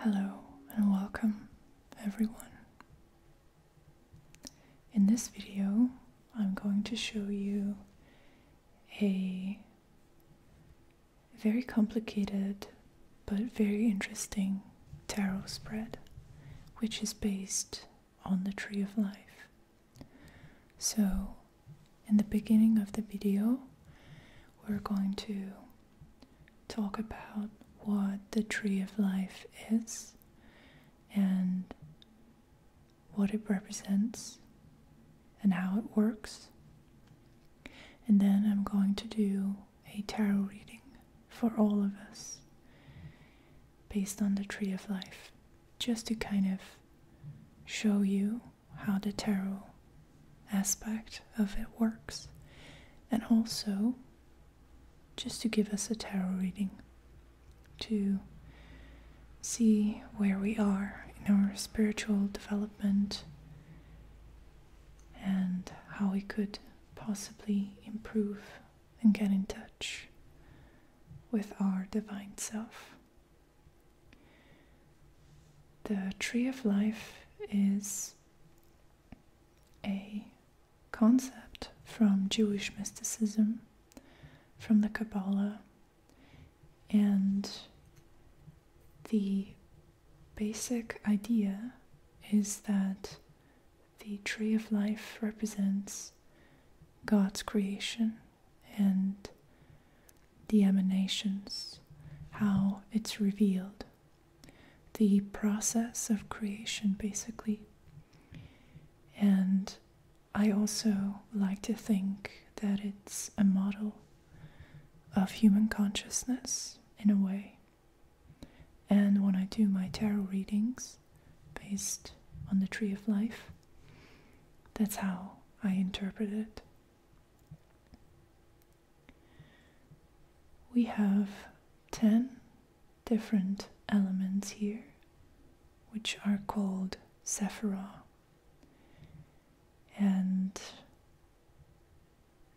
Hello and welcome, everyone. In this video, I'm going to show you a very complicated but very interesting tarot spread, which is based on the Tree of Life. So, in the beginning of the video, we're going to talk about what the tree of life is and what it represents and how it works. And then I'm going to do a tarot reading for all of us based on the tree of life, just to kind of show you how the tarot aspect of it works and also just to give us a tarot reading, to see where we are in our spiritual development and how we could possibly improve and get in touch with our divine self. The tree of life is a concept from Jewish mysticism, from the Kabbalah, and the basic idea is that the tree of life represents God's creation and the emanations, how it's revealed the process of creation, basically. And I also like to think that it's a model of human consciousness in a way. And when I do my tarot readings based on the Tree of Life, that's how I interpret it. We have 10 different elements here, which are called Sephiroth. And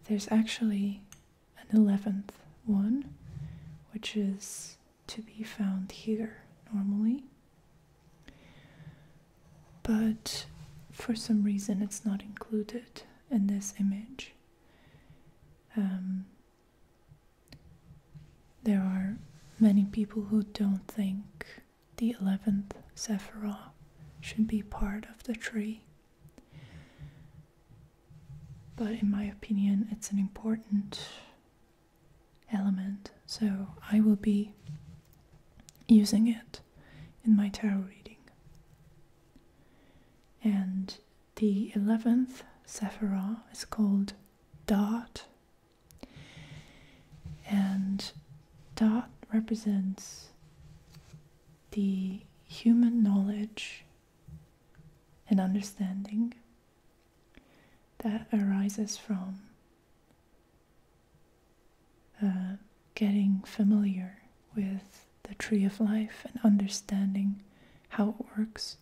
there's actually an 11th one, which is to be found here normally. But for some reason, it's not included in this image. Um, there are many people who don't think the 11th Sephiroth should be part of the tree. But in my opinion, it's an important element, so I will be using it in my tarot reading. And the eleventh Sephirah is called Dot, and Dot represents the human knowledge and understanding that arises from uh, getting familiar with the tree of life and understanding how it works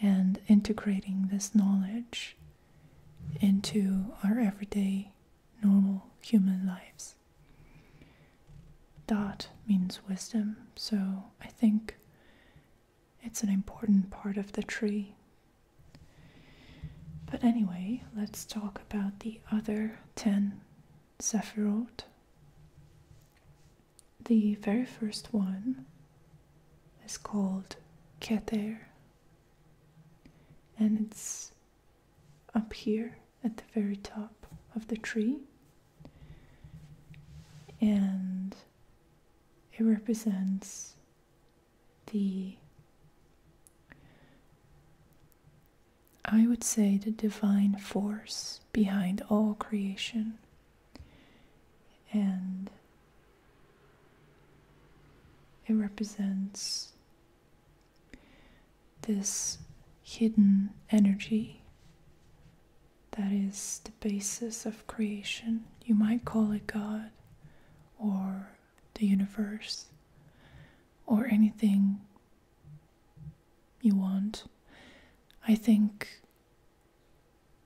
and integrating this knowledge into our everyday normal human lives. Dot means wisdom, so I think it's an important part of the tree. But anyway, let's talk about the other 10 Sephiroth. The very first one is called Kether, and it's up here at the very top of the tree, and it represents the I would say the divine force behind all creation. And it represents this hidden energy that is the basis of creation. You might call it God or the universe or anything you want. I think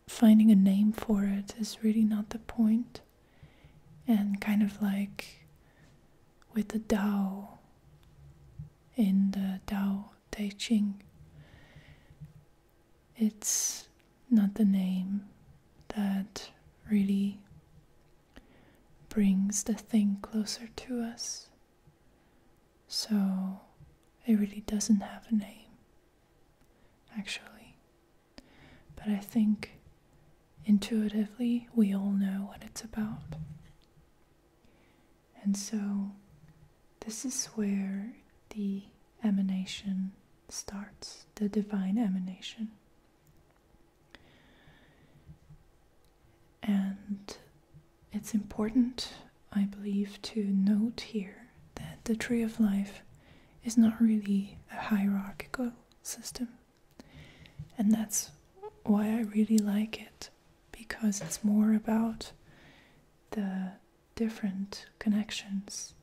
finding a name for it is really not the point. And kind of like with the Tao in the Tao Te Ching, it's not the name that really brings the thing closer to us. So it really doesn't have a name, actually. But I think intuitively we all know what it's about. And so this is where the emanation starts, the divine emanation. And it's important, I believe, to note here that the Tree of Life is not really a hierarchical system. And that's why I really like it, because it's more about the different connections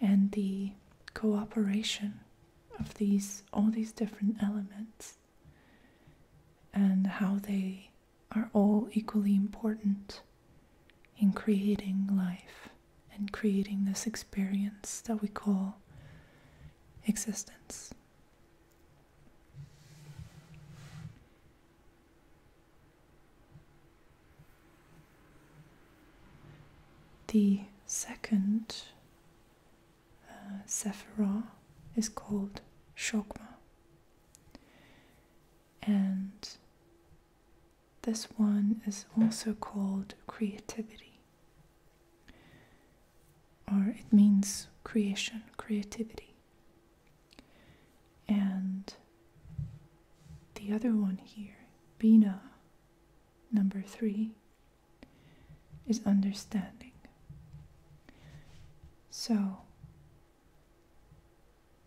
and the cooperation of these all these different elements and how they are all equally important in creating life and creating this experience that we call existence. The second uh, is called Shogma. And this one is also called creativity, or it means creation, creativity. And the other one here, Bina, number three, is understanding. So,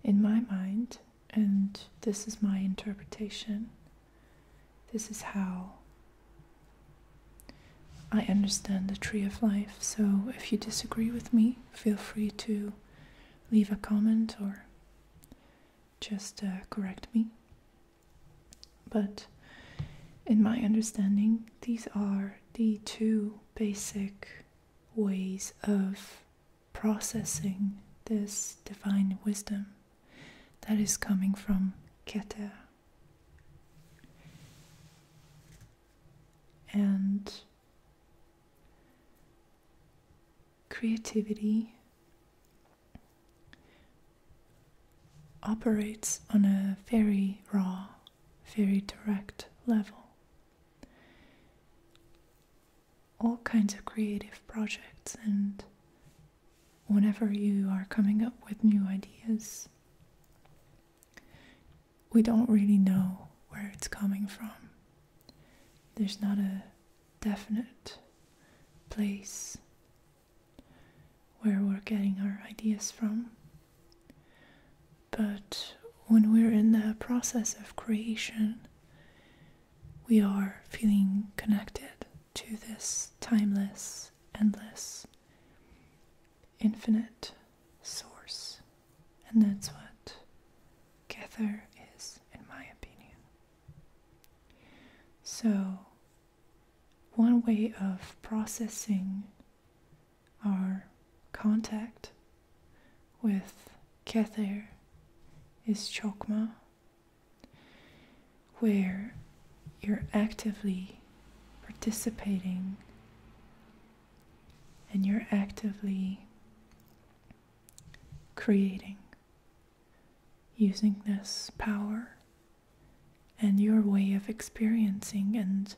in my mind, and this is my interpretation, this is how I understand the tree of life. So, if you disagree with me, feel free to leave a comment or just uh, correct me. But in my understanding, these are the two basic ways of processing this divine wisdom that is coming from Keter. And creativity operates on a very raw, very direct level. All kinds of creative projects, and whenever you are coming up with new ideas, we don't really know where it's coming from. There's not a definite place where we're getting our ideas from. But when we're in the process of creation, we are feeling connected to this timeless, endless, infinite source. And that's what Kether is, in my opinion. So one way of processing our contact with Kether is Chokmah, where you're actively participating and you're actively creating using this power and your way of experiencing and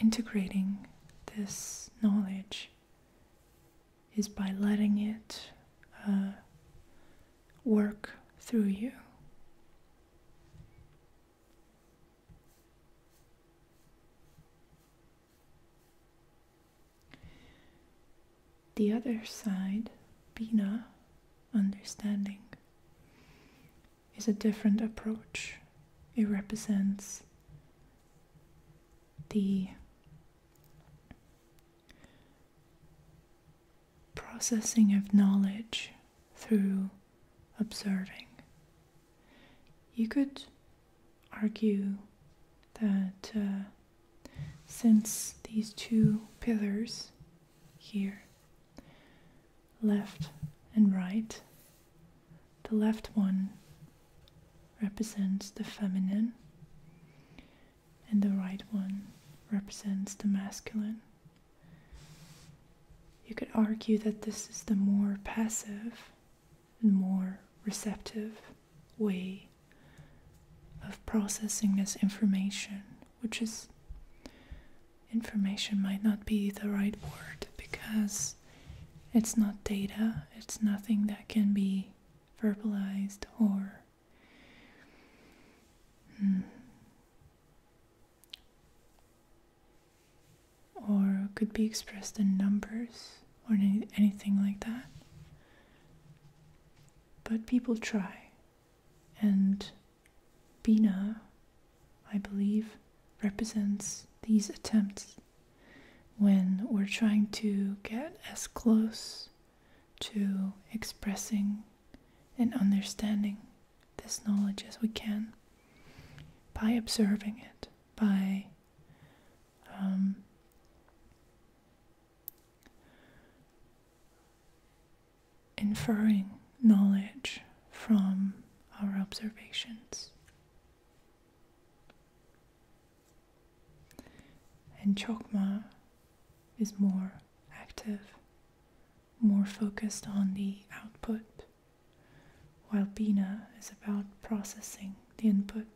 integrating this knowledge is by letting it uh, work through you the other side, Bina, understanding, is a different approach. It represents the processing of knowledge through observing. You could argue that uh, since these two pillars here, left and right. The left one represents the feminine, and the right one represents the masculine. You could argue that this is the more passive and more receptive way of processing this information which is information might not be the right word because it's not data, it's nothing that can be verbalized or hmm, or could be expressed in numbers or any, anything like that. But people try and Bina, I believe, represents these attempts when we're trying to get as close to expressing and understanding this knowledge as we can by observing it, by um, inferring knowledge from our observations. And chokma is more active, more focused on the output, while bina is about processing the input.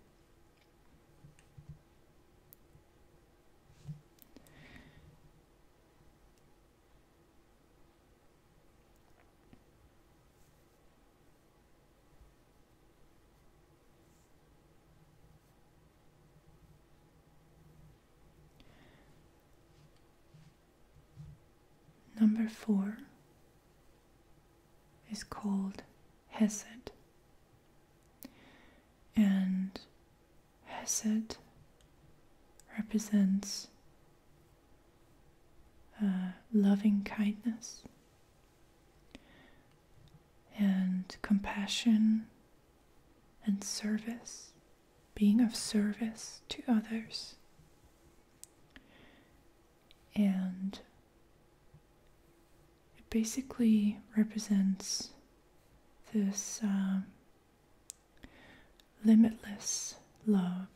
Number four is called Hesed, and Hesed represents uh, loving kindness and compassion and service, being of service to others. And it basically represents this um, limitless love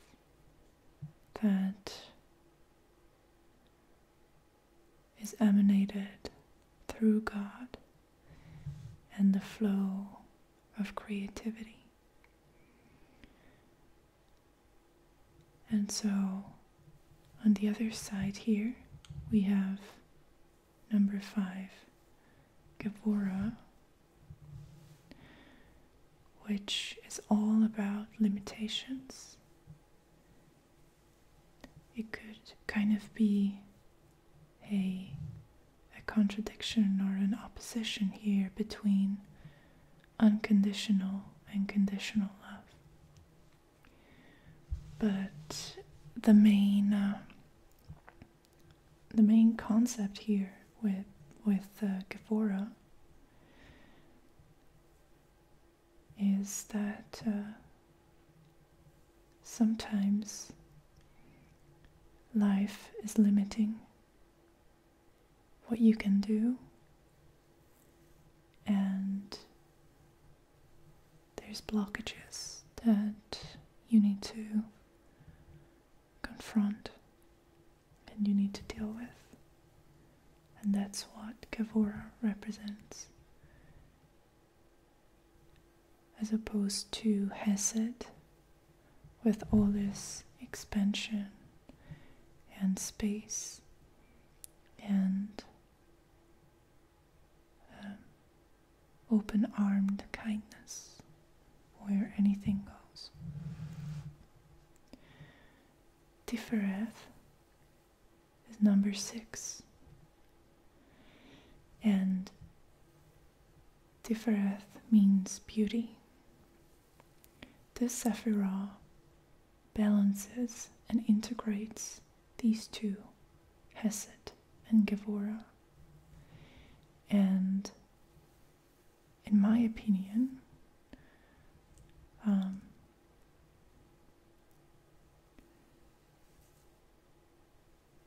that is emanated through God and the flow of creativity. And so on the other side here, we have Number five, Gevura, which is all about limitations. It could kind of be a, a contradiction or an opposition here between unconditional and conditional love. But the main uh, the main concept here with with uh, Gevora is that uh, sometimes life is limiting what you can do and there's blockages that you need to confront and you need to deal with. And that's what Gavora represents. As opposed to Hesed, with all this expansion and space and um, open armed kindness where anything goes. Tifereth is number six, and Tifereth means beauty. The Sephirah balances and integrates these two, Hesed and Gevora. And in my opinion, um,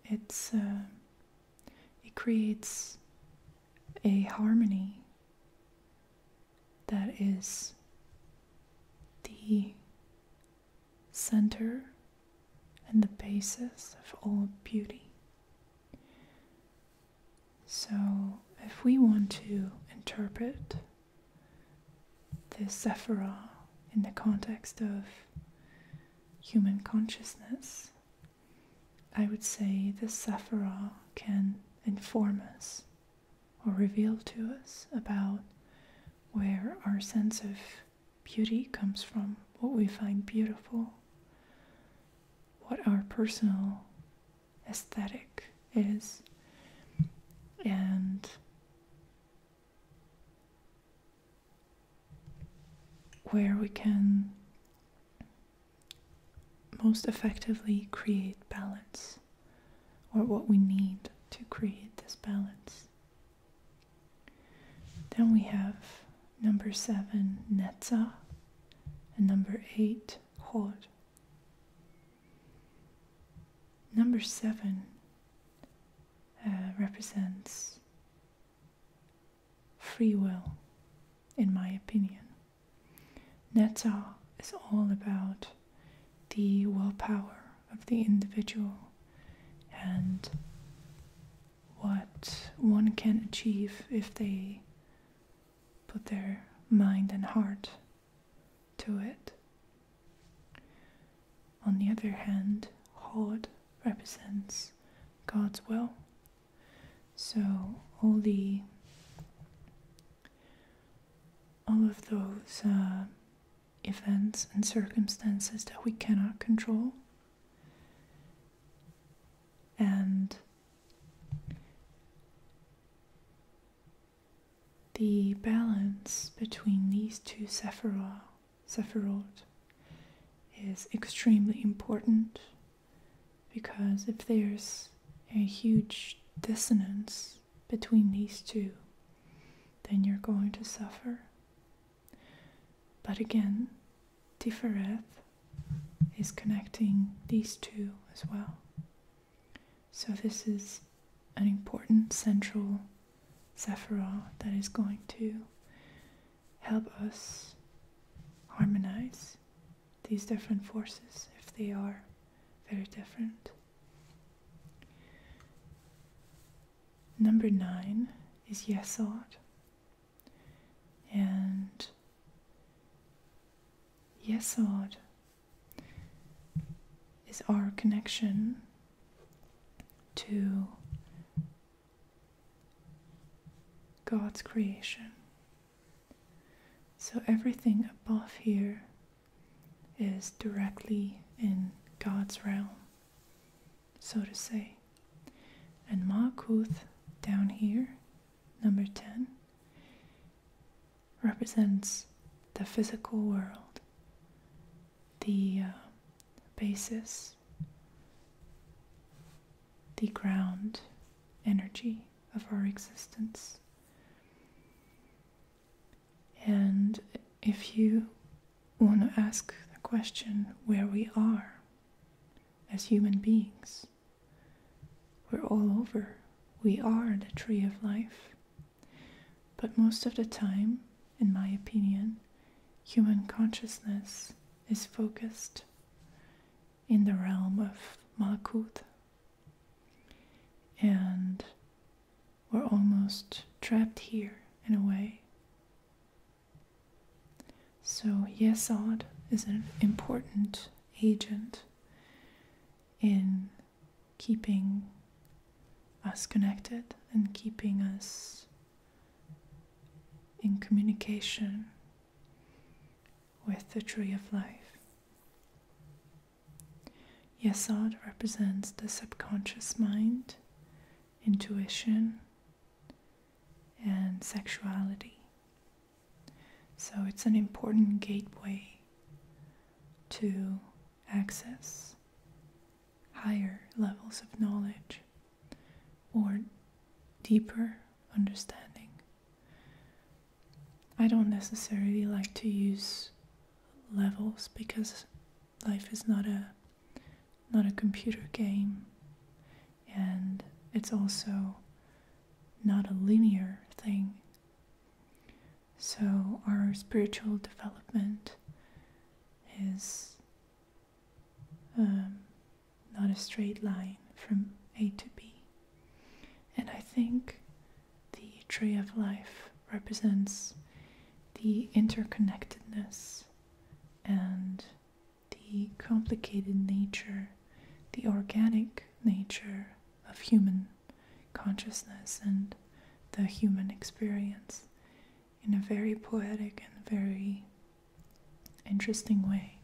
it's uh, it creates a harmony that is the center and the basis of all beauty. So, if we want to interpret this Sephirah in the context of human consciousness, I would say the Sephirah can inform us or reveal to us about where our sense of beauty comes from, what we find beautiful, what our personal aesthetic is, and where we can most effectively create balance or what we need to create this balance. Then we have number seven, Netzach, and number eight, Hor. Number seven uh, represents free will, in my opinion. Netzach is all about the willpower of the individual and what one can achieve if they put their mind and heart to it. On the other hand, Hod represents God's will. So all the all of those uh, events and circumstances that we cannot control. And the balance between these two sephirot, sephirot is extremely important because if there's a huge dissonance between these two, then you're going to suffer. But again, Tifereth is connecting these two as well. So this is an important central Sephiroth that is going to help us harmonize these different forces if they are very different. Number nine is Yesod. And Yesod is our connection to God's creation. So everything above here is directly in God's realm, so to say. And Makuth down here, number 10, represents the physical world, the uh, basis, the ground energy of our existence. And if you want to ask the question where we are as human beings, we're all over. We are the tree of life. But most of the time, in my opinion, human consciousness is focused in the realm of Malakut, and we're almost trapped here in a way. So, Yesod is an important agent in keeping us connected and keeping us in communication with the tree of life. Yasod represents the subconscious mind, intuition, and sexuality. So it's an important gateway to access higher levels of knowledge or deeper understanding. I don't necessarily like to use levels because life is not a not a computer game and it's also not a linear thing. So our spiritual development is um, not a straight line from A to B. And I think the tree of life represents the interconnectedness and the complicated nature, the organic nature of human consciousness and the human experience in a very poetic and very interesting way.